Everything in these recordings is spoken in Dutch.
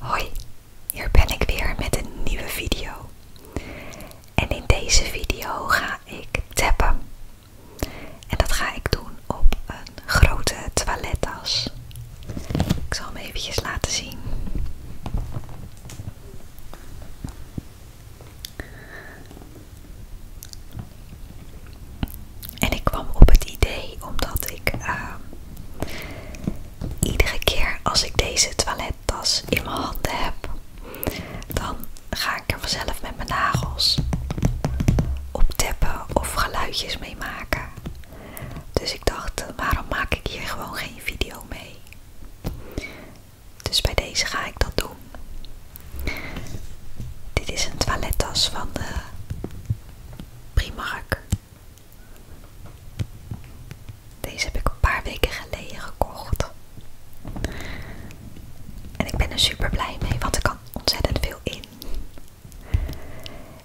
Hoi, hier ben ik weer met een nieuwe video. En in deze video ga ik tappen. En dat ga ik doen op een grote toilettas. Ik zal hem eventjes laten zien. En ik kwam op het idee omdat ik ehm, iedere keer als ik deze toilettas in mijn handen heb, dan ga ik er vanzelf met mijn nagels op tappen of geluidjes mee maken. Dus ik dacht, waarom maak ik hier gewoon geen video mee? Dus bij deze ga ik dat doen. Dit is een toilettas van de Primark. Deze heb ik een paar weken geleden gekocht. En ik ben er super blij mee, want er kan ontzettend veel in.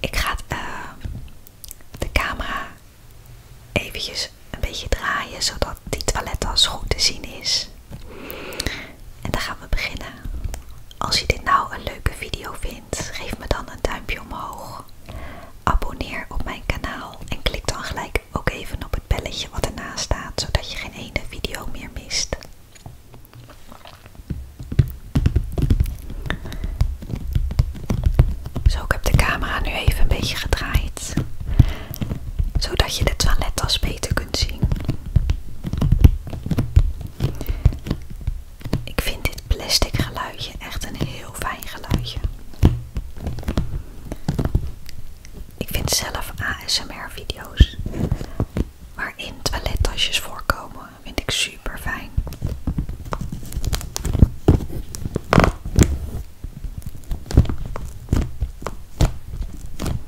Ik ga eh, de camera eventjes een beetje draaien, zodat die toilettas goed te zien is. En dan gaan we beginnen. Als je dit nou een leuke video vindt, geef me dan een duimpje omhoog. Abonneer op mijn kanaal en klik dan gelijk ook even op het belletje wat ernaast staat, zodat je geen ene video meer mist. Zo, ik heb de camera nu even een beetje gedraaid zodat je de toilettas beter kunt zien. Ik vind dit plastic geluidje echt een heel fijn geluidje. Ik vind zelf ASMR-video's waarin toilettasjes voorkomen, vind ik super fijn.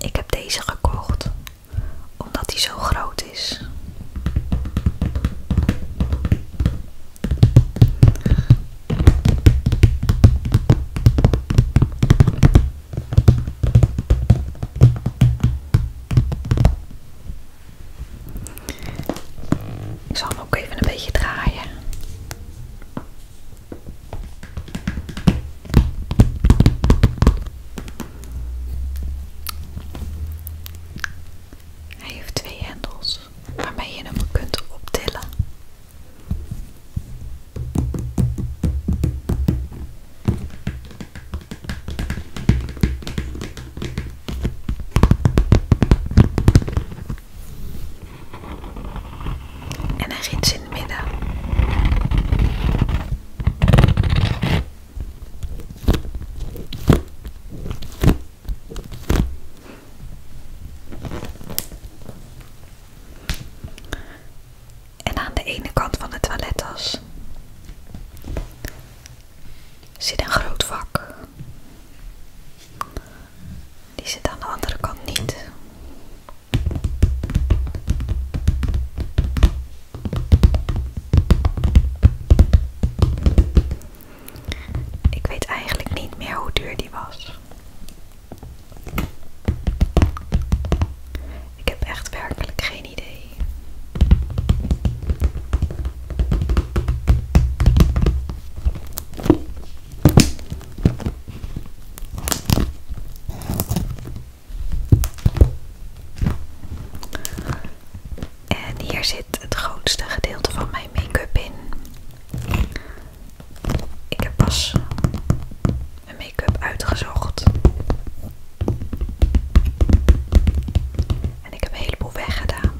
Ik heb deze gekocht omdat hij zo groot is zal hem ook even een beetje draaien. Hij heeft twee hendels waarmee je hem kunt optillen. En een gids in het midden. En aan de ene kant van de toilettas zit een groot vak. Die zit aan de andere kant niet. Ik weet eigenlijk niet meer hoe duur die was. Ik heb echt werkelijk geen idee. En hier zit het grootste gedeelte van mijn make-up in. Ik heb pas mijn make-up uitgezocht. En ik heb een heleboel weggedaan.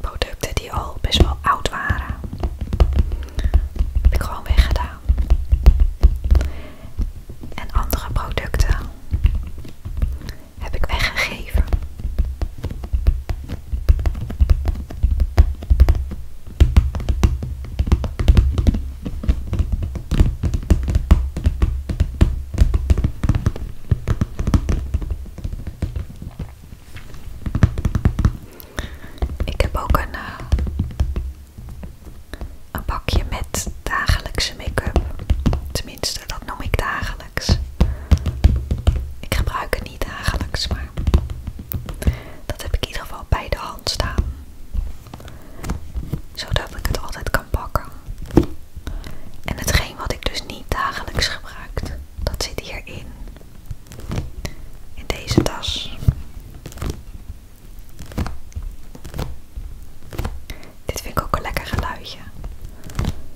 Producten die al best wel oud waren. Heb ik gewoon weggedaan. En andere producten heb ik weggegeven. Ik heb ook een, eh, een bakje met dagelijkse make-up dat noem ik dagelijks. Ik gebruik het niet dagelijks, maar dat heb ik in ieder geval bij de hand staan. Zodat ik het altijd kan pakken. En hetgeen wat ik dus niet dagelijks gebruik, dat zit hierin. In deze tas. Dit vind ik ook een lekker geluidje.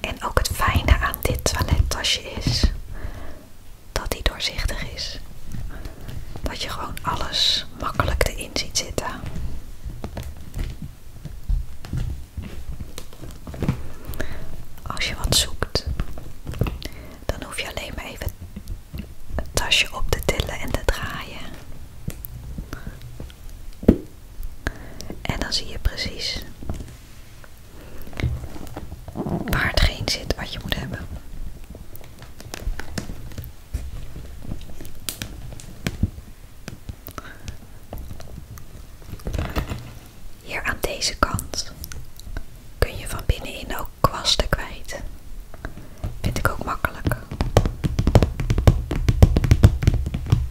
En ook het fijne aan dit toilettasje is dat hij doorzichtig is. Dat je gewoon alles makkelijk erin ziet zitten. Als je wat zoekt, dan hoef je alleen maar even het tasje op te tillen en te draaien. En dan zie je precies waar het geen zit wat je moet hebben. Hier aan deze kant kun je van binnenin ook kwasten kwijt. Vind ik ook makkelijk.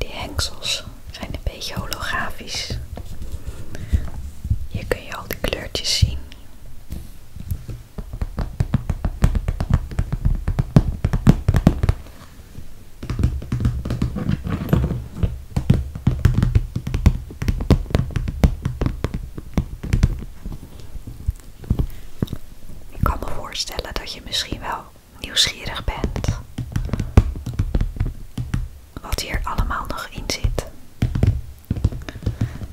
Die hengsels zijn een beetje holografisch. Hier kun je al die kleurtjes zien. Ik kan me voorstellen dat je misschien wel nieuwsgierig bent wat hier allemaal nog in zit.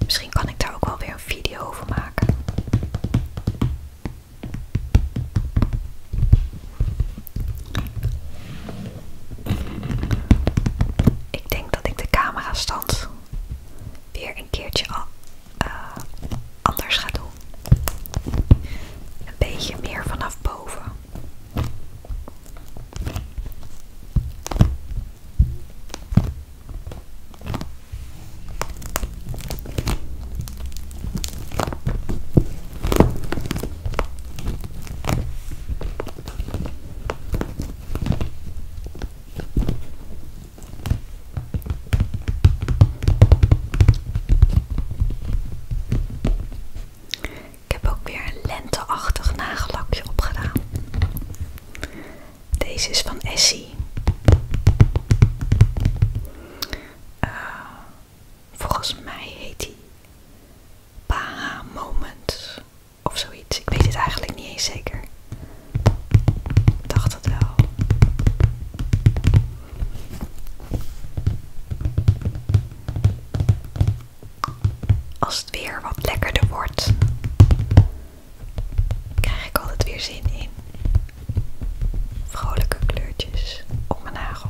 Misschien kan ik daar ook wel weer een video over maken. Ik denk dat ik de camera stand weer een keertje eh, anders ga doen. Een beetje meer vanaf boven. Ik heb ook weer een lenteachtig nagellakje opgedaan. Deze is van Essie. Eh, volgens mij heet hij Baha Moment. Of zoiets. Ik weet het eigenlijk niet eens zeker. Ik dacht het wel. Als het weer wat lekkerder wordt, krijg ik altijd weer zin in vrolijke kleurtjes op mijn nagels.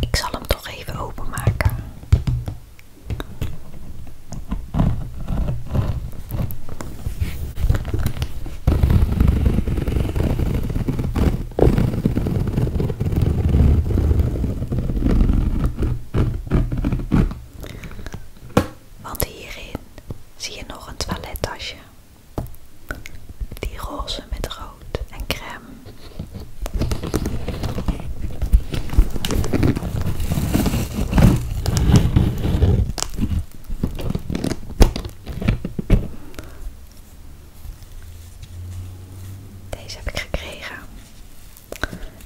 Ik zal hem toch even openmaken. Want hierin zie je nog een toilettasje. Die roze met rood en crème. Deze heb ik gekregen.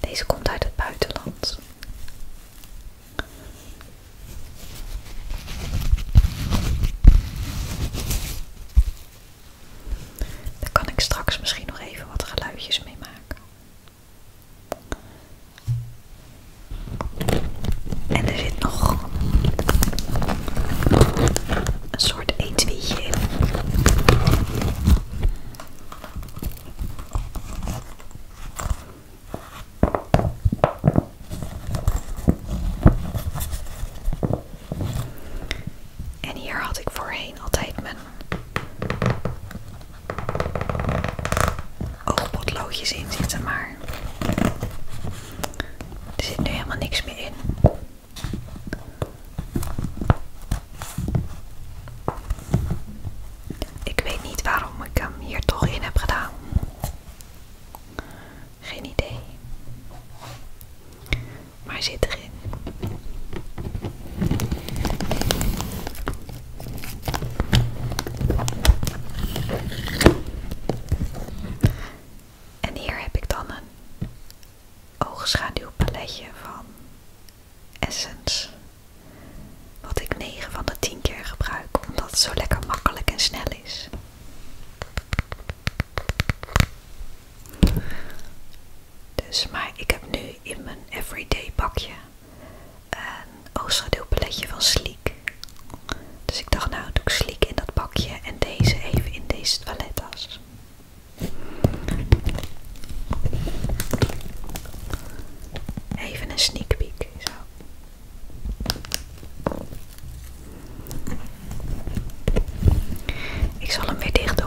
Deze komt uit het buitenland. Daar kan ik straks misschien nog even wat geluidjes mee maken. En er zit nog een soort etuietje in. En hier had ik voorheen altijd mijn oogpotloodjes in zitten, maar er zit nu helemaal niks meer in. Ik weet niet waarom ik hem hier toch in heb gedaan. Geen idee. Maar hij zit erin. En hier heb ik dan een oogschaduwpaletje van Essence. Wat ik 9 van de 10 keer gebruik, omdat het zo lekker makkelijk en snel is. Dus, maar ik heb nu in mijn everyday pakje een oogschaduwpaletje van Sleek. Dus ik dacht, nou doe ik Sleek in dat bakje en deze even in deze toilettas. Even een sneak peek, zo. Ik zal hem weer dicht doen.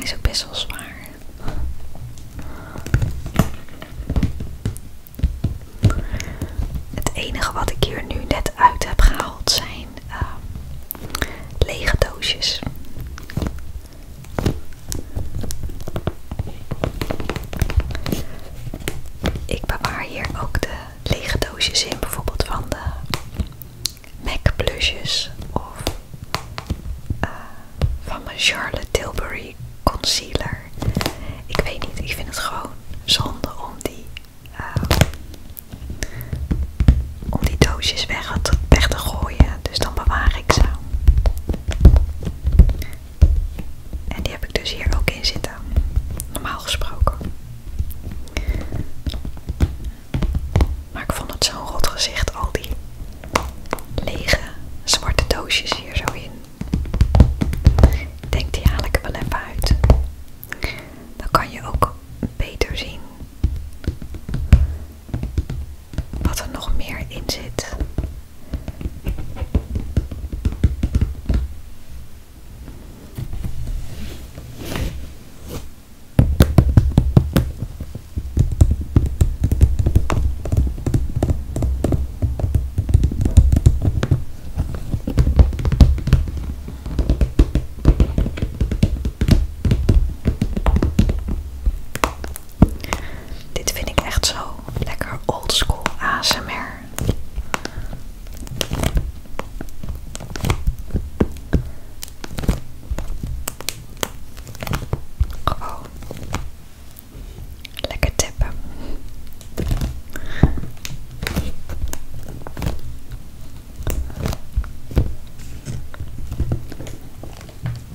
is ook best wel zwaar. Het enige wat ik hier nu net uit heb gehaald zijn ehm, lege doosjes. Ik bewaar hier ook de lege doosjes in, bijvoorbeeld van de MAC blushes of eh, van mijn Charlotte Tilbury concealer. Ik weet niet, ik vind het gewoon zonde om die, eh, om die doosjes weg te gooien dus dan bewaar ik ze. En die heb ik dus hier ook in zitten, normaal gesproken. Maar ik vond het zo'n rot gezicht, al die lege zwarte doosjes hier zo in. Ik denk, die haal ik er wel even uit. Dan kan je ook beter zien wat er nog meer in zit. Dit vind ik echt zo lekker oldschool ASMR. Oh, oh. Lekker tippen.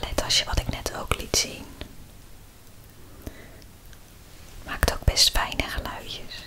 Dit je wat ik net ook liet zien. Maakt ook best fijne geluidjes.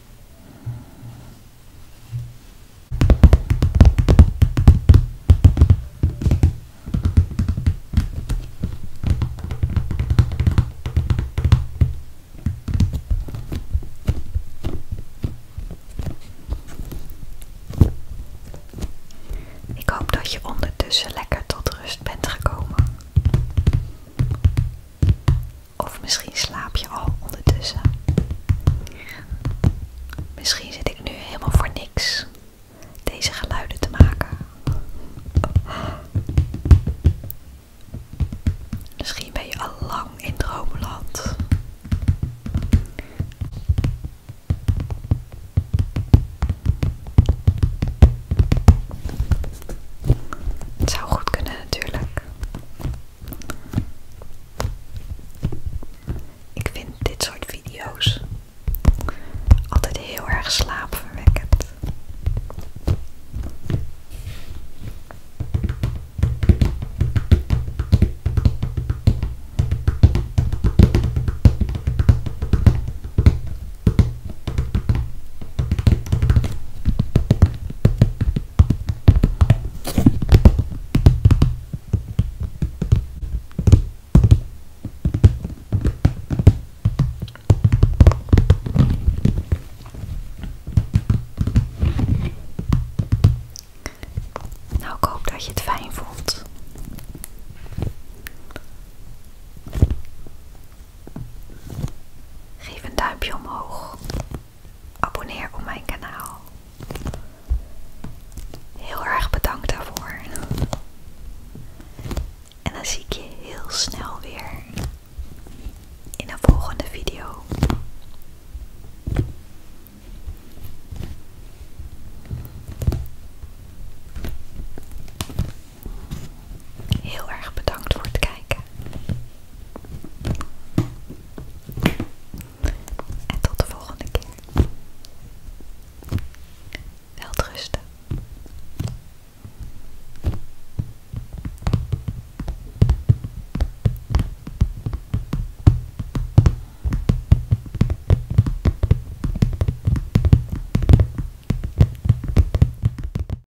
Ik hoop dat je ondertussen lekker tot rust bent gekomen. Of misschien slaap je al ondertussen. Misschien zit ik nu helemaal voor niks deze geluiden te maken. Misschien ben je al lang in droomland. Het zou goed kunnen natuurlijk. Ik vind dit soort video's altijd heel erg slaapverwekkend. Nou, ik hoop dat je het fijn vond. Geef een duimpje omhoog. Abonneer op mijn kanaal. Heel erg bedankt daarvoor. En dan zie ik je heel snel weer in een volgende video. Heel erg bedankt voor het kijken. En tot de volgende keer. Welterusten.